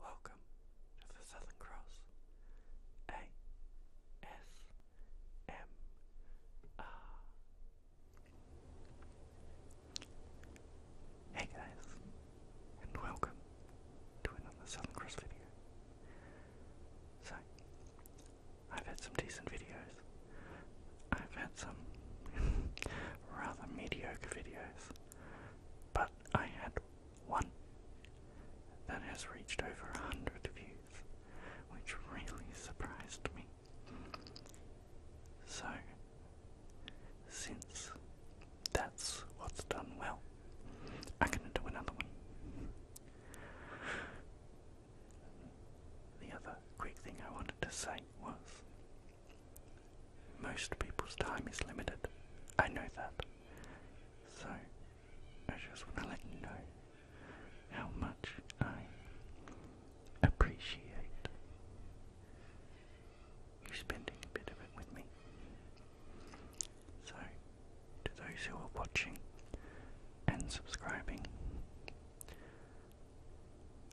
Welcome to the Southern Cross ASMR. Hey guys, and welcome to another Southern Cross video. So, I've had some decent videos. I've had some rather mediocre videos, but I had one that has reached over a hundred views, which really surprised me. So, since that's what's done well, I'm gonna do another one. The other quick thing I wanted to say was most people's time is limited. I know that. So, I just want to let you know how much I appreciate you spending a bit of it with me. So, to those who are watching and subscribing,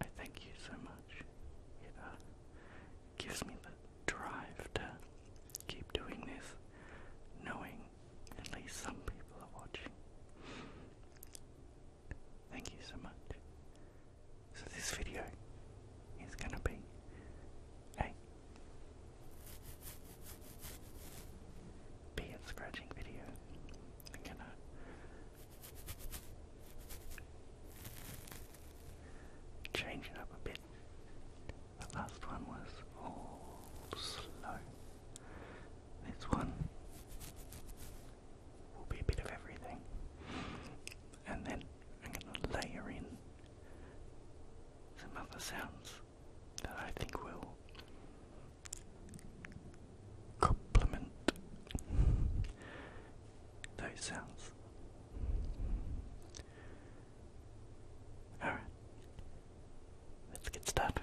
I thank you so much. Either gives me the drive to keep doing this, knowing at least some people are watching. Thank you so much. So this video is gonna be a beard scratching video. I'm gonna Change it up a bit. The last one was all slow. This one will be a bit of everything. And then I'm going to layer in some other sounds that I think will complement those sounds. Alright, let's get started.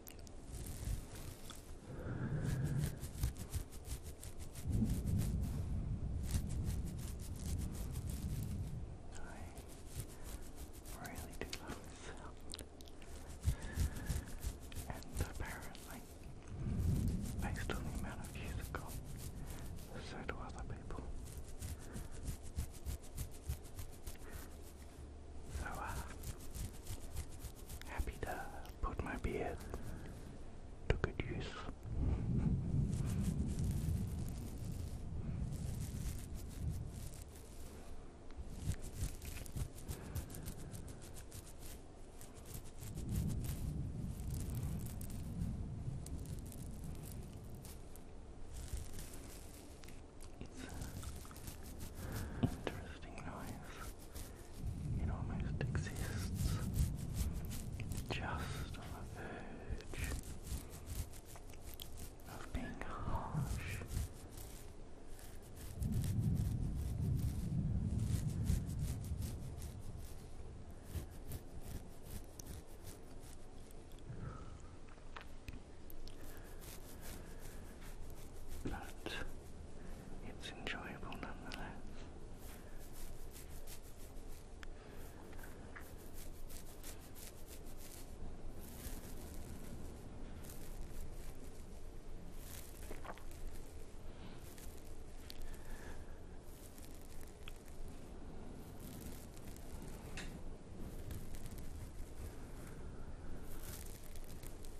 I really do love this And apparently, based on the amount of views it got, so do other people. So, uh, happy to put my beard to good use interesting noise. It almost exists just on the verge of being harsh. But it's enjoyable nonetheless.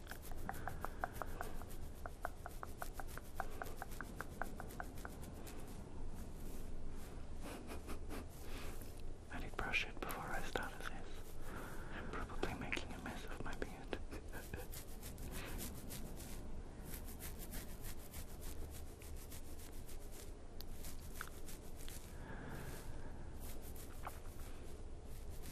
I need to brush it before I start this. I'm probably making a mess of my beard.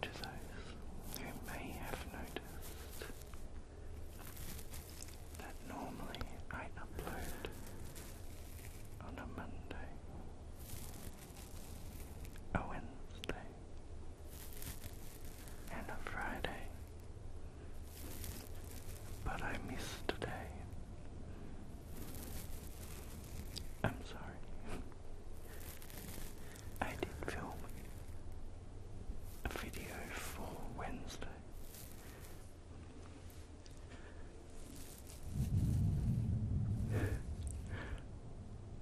To those who may have noticed that normally I upload on a Monday, a Wednesday, and a Friday, but I missed today. I'm sorry. I did film a video for Wednesday.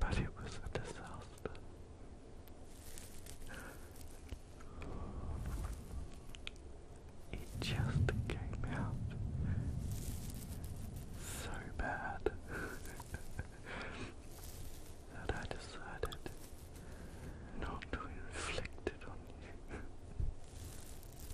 but it was a disaster. It just came out so bad that I decided not to inflict it on you.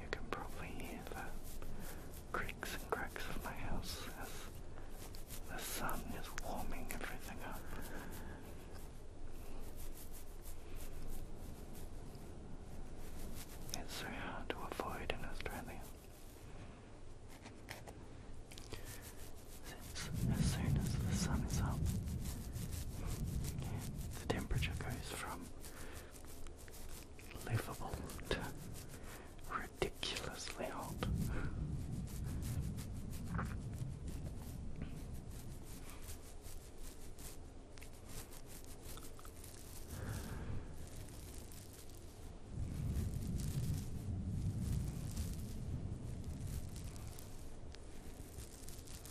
You can probably hear the creaks and cracks of my house as the sun is warming everything up. It's so hard to avoid in Australia. Since as soon as the sun is up, the temperature goes from livable ridiculously hot.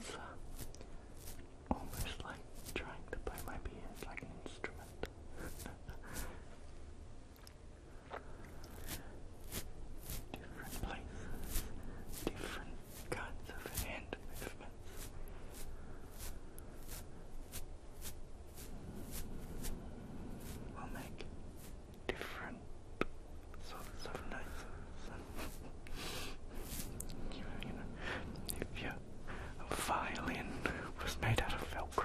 It's uh, almost like trying to play my piano like an instrument. different places, different kinds of hand movements will make different sorts of noises. you know, if your violin was made out of Velcro.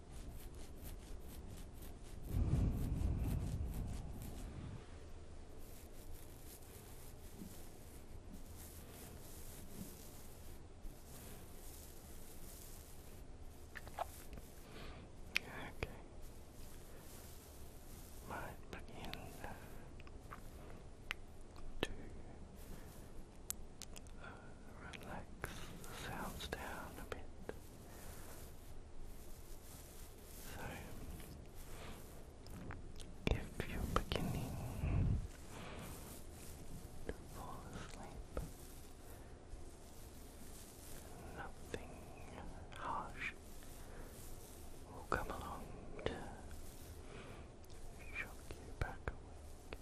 Okay. Might begin to uh, relax the sounds down a bit. So, if you're beginning to fall asleep, nothing harsh will come along to shock you back awake.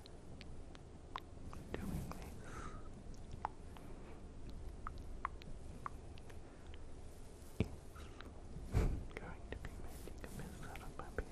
doing this is going to be making a mess out of my pants.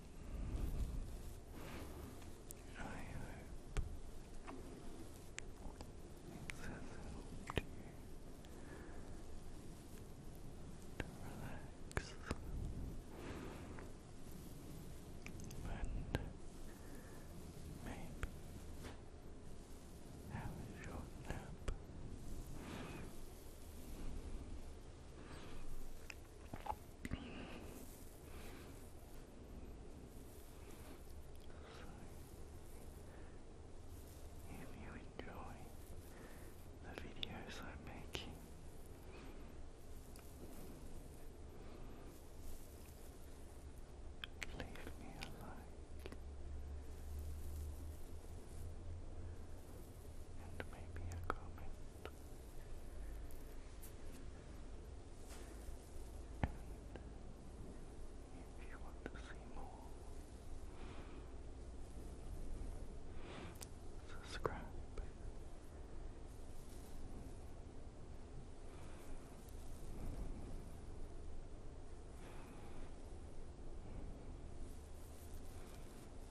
I hope this has you relax and maybe have a nap. If you enjoy the videos I'm leave me a like and maybe a comment. And if you want to see more, subscribe.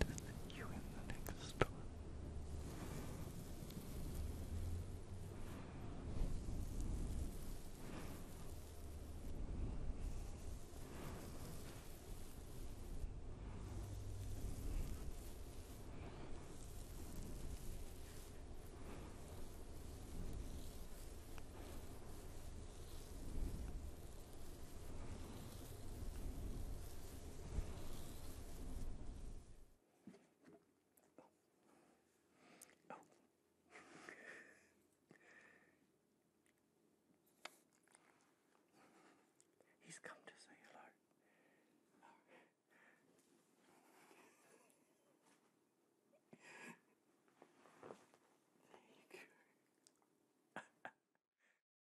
to you in the next one. Oh. He's come to say hello. There you go.